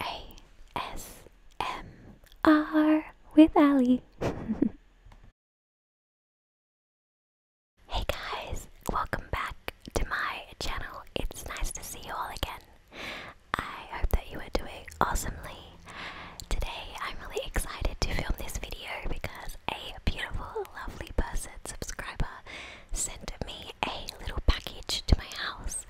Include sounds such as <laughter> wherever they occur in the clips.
ASMR with Ali. <laughs> hey guys, welcome back to my channel. It's nice to see you all again. I hope that you are doing awesomely. Today I'm really excited to film this video because a beautiful, lovely person, subscriber, sent me a little package to my house,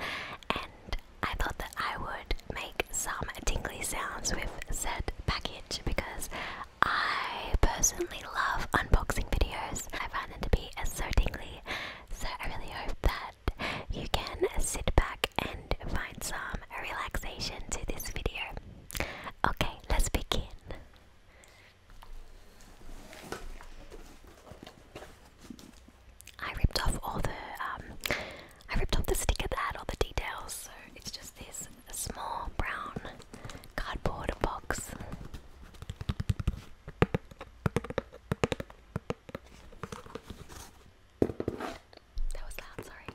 and I thought that I would make some tingly sounds with said package because I personally love unboxing videos. I find them to be so tingly, so I really hope that you can sit back and find some relaxation to this video. Okay, let's begin. I ripped off all the um, I ripped off the sticker that had all the details, so it's just this small brown cardboard box. That was loud, sorry.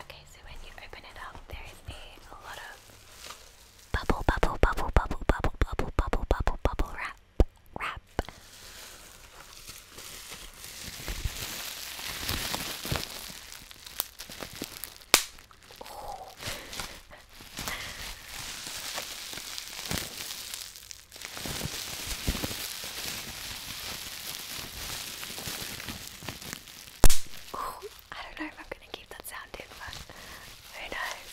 Okay, so when you open it up, there is a lot of bubble, bubble, bubble, bubble, bubble, bubble, bubble, bubble, bubble wrap, wrap. I don't know if I'm going to keep that sound but who knows?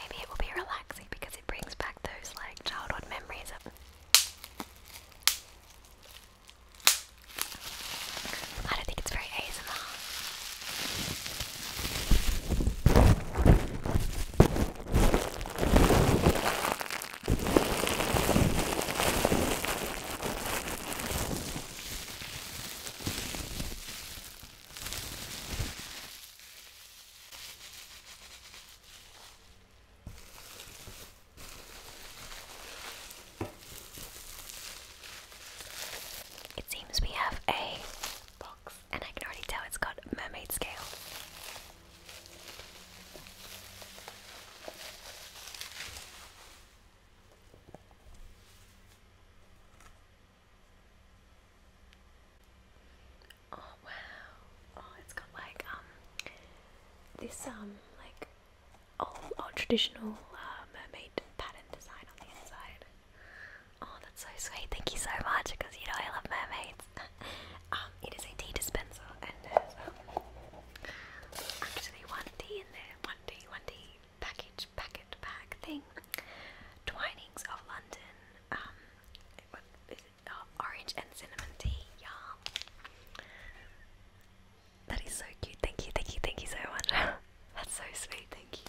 Maybe it will be relaxing because it brings back those like childhood memories I don't think it's very ASMR. It seems we have a box, and I can already tell it's got mermaid scale. Oh wow. Oh, it's got like um this um like old, traditional uh, mermaid pattern design on the inside. Oh, that's so sweet. Thank you so much because you know I love mermaids. <laughs> Um, it is a tea dispenser and there's uh, actually one tea in there, one tea, one tea package, packet, bag, thing. Twinings of London, um, oh, orange and cinnamon tea, yum. That is so cute, thank you, thank you, thank you so much. <laughs> That's so sweet, thank you.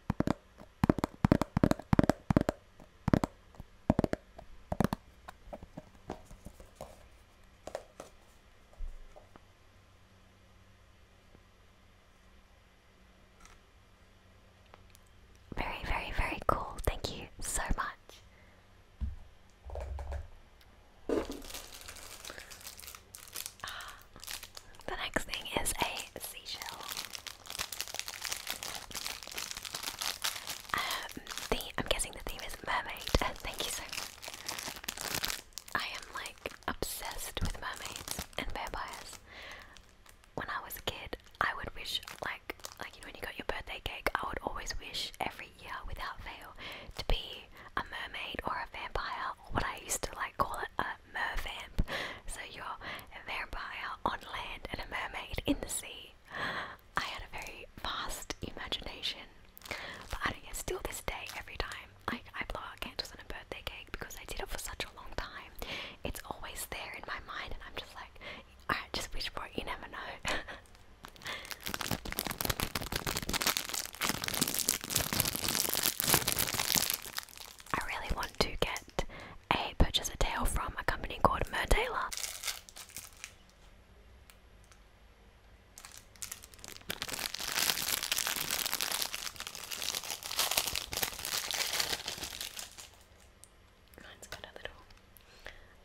Very, very, very cool. Thank you so much. Ah. The next thing is a seashell. Um, the I'm guessing the theme is mermaid. Uh, <laughs> thank you so much. I am like obsessed with mermaids and vampires. When I was a kid, I would wish like like you know when you got your birthday cake, I would always wish every year without fail to be a mermaid or a vampire or what I used to like call it a mervamp. So you're a vampire uh, on land and a mermaid in the sea. I had a very vast imagination, but I don't get still this day every time like I blow out candles on a birthday cake because I did it for such a long time. It's always there in my mind, and I'm just like, alright, just wish for it. You never know. <laughs> I really want to get that I purchased a tail from a company called Mer Taylor.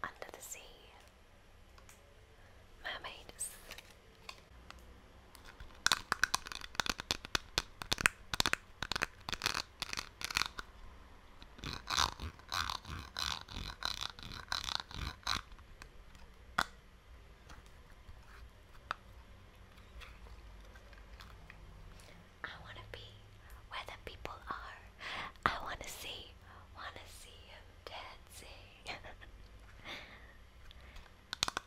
under the sea mermaids. I want to be where the people are. I want to see, want to see him dancing. <laughs>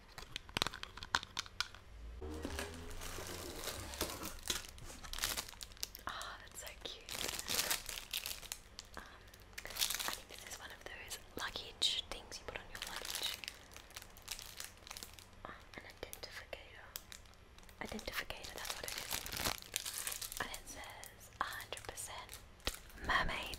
Oh, that's so cute. Um, I think this is one of those luggage things you put on your luggage. Ah, an identificator. Identificator, that's what it is. And it says 100% mermaid.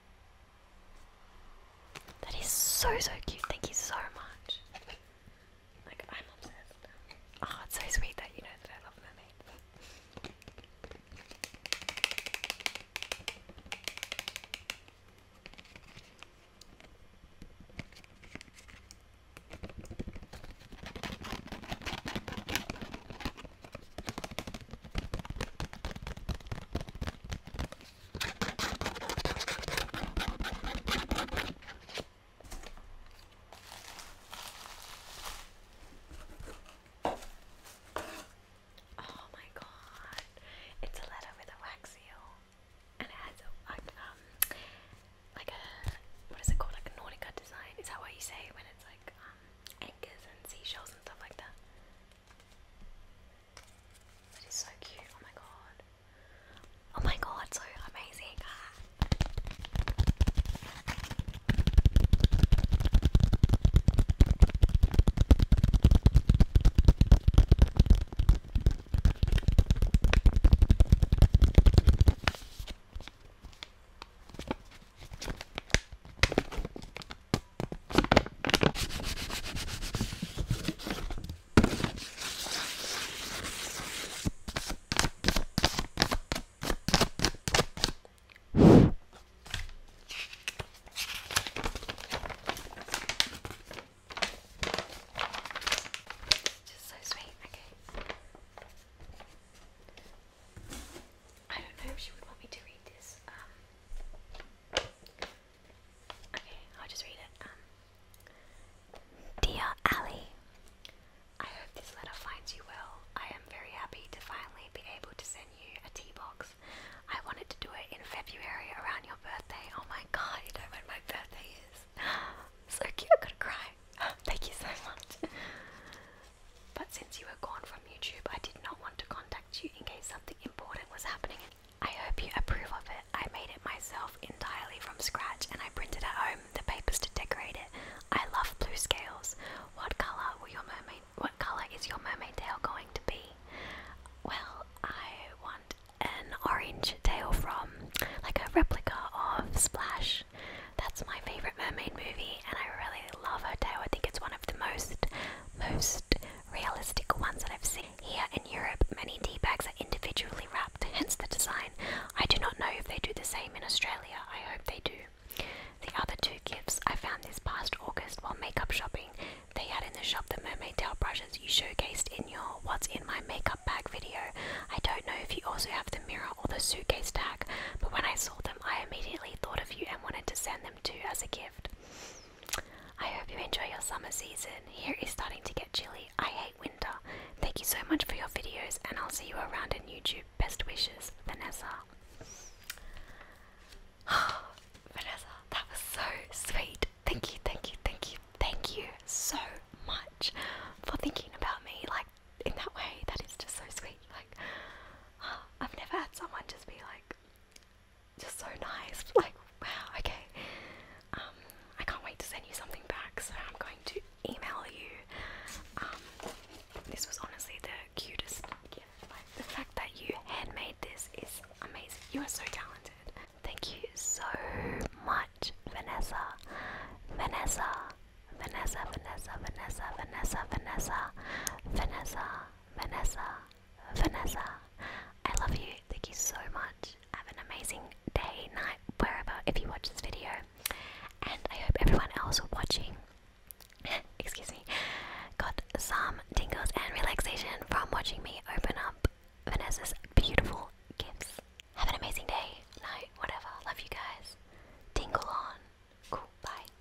That is so, so cute. Thank you so much. Like, I'm obsessed. Oh, it's so sweet that you know that I love mermaids. Oh my god, it's a letter with a wax seal, and it has like um, like a what is it called? Like a Nautica design. Is that what you say when it's like um anchors and seashells and stuff like that? But he's so cute, oh my god. Oh my god, so amazing. Just so sweet. Okay. I don't know if she would want me to read this. Um, um. Dear Ali, I hope this letter finds you well. I am very happy to finally be able to send you a tea box. I wanted to do it in February around your birthday. Oh my god, you know when my birthday is. <gasps> So cute, I'm gonna cry. <gasps> Thank you so much. <laughs> but since you were gone from YouTube, I did not want to contact contact you in case something important was happening. I hope you approve of it. I made it myself entirely from scratch and I printed at home the papers to decorate it. I love blue scales. What colour will your mermaid what colour is your mermaid tail going to be? Well, I want an orange tail from like a replica of Splash. That's my favourite mermaid movie and I really love her tail. I think it's one of the most most realistic ones that I've seen. Here in Europe, many tea bags are individually wrapped, hence the design. I do not know if they do the same in Australia, I hope they do. The other two gifts I found this past August while makeup shopping. They had in the shop the mermaid tail brushes you showcased in your What's in My Makeup Bag video. I don't know if you also have the mirror or the suitcase tag, but when I saw them, I immediately thought of you and wanted to send them to you as a gift. I hope you enjoy your summer season. Here is starting to get chilly. I hate winter. Thank you so much for your videos, and I'll see you around in YouTube. Best wishes, Vanessa. <sighs> Vanessa, that was so sweet. Thank you, thank you, thank you, thank you so much for thinking about me like in that way. That is just so sweet. Like, <gasps> I've never had someone just be like, just so nice. <laughs> Like, wow, okay. Um, I can't wait to send you something back, so I'm going to email you. Um, this was honestly the cutest gift. Like, the fact that you handmade this is amazing. You are so talented. Thank you so much, Vanessa. Vanessa. Vanessa, Vanessa, Vanessa, Vanessa, Vanessa, Vanessa, Vanessa. Vanessa, I love you. Thank you so much. Have an amazing day, night, wherever, if you watch this video. And I hope everyone else watching, <laughs> excuse me, got some tingles and relaxation from watching me open up Vanessa's beautiful gifts. Have an amazing day, night, whatever. Love you guys. Tingle on. Cool. Bye.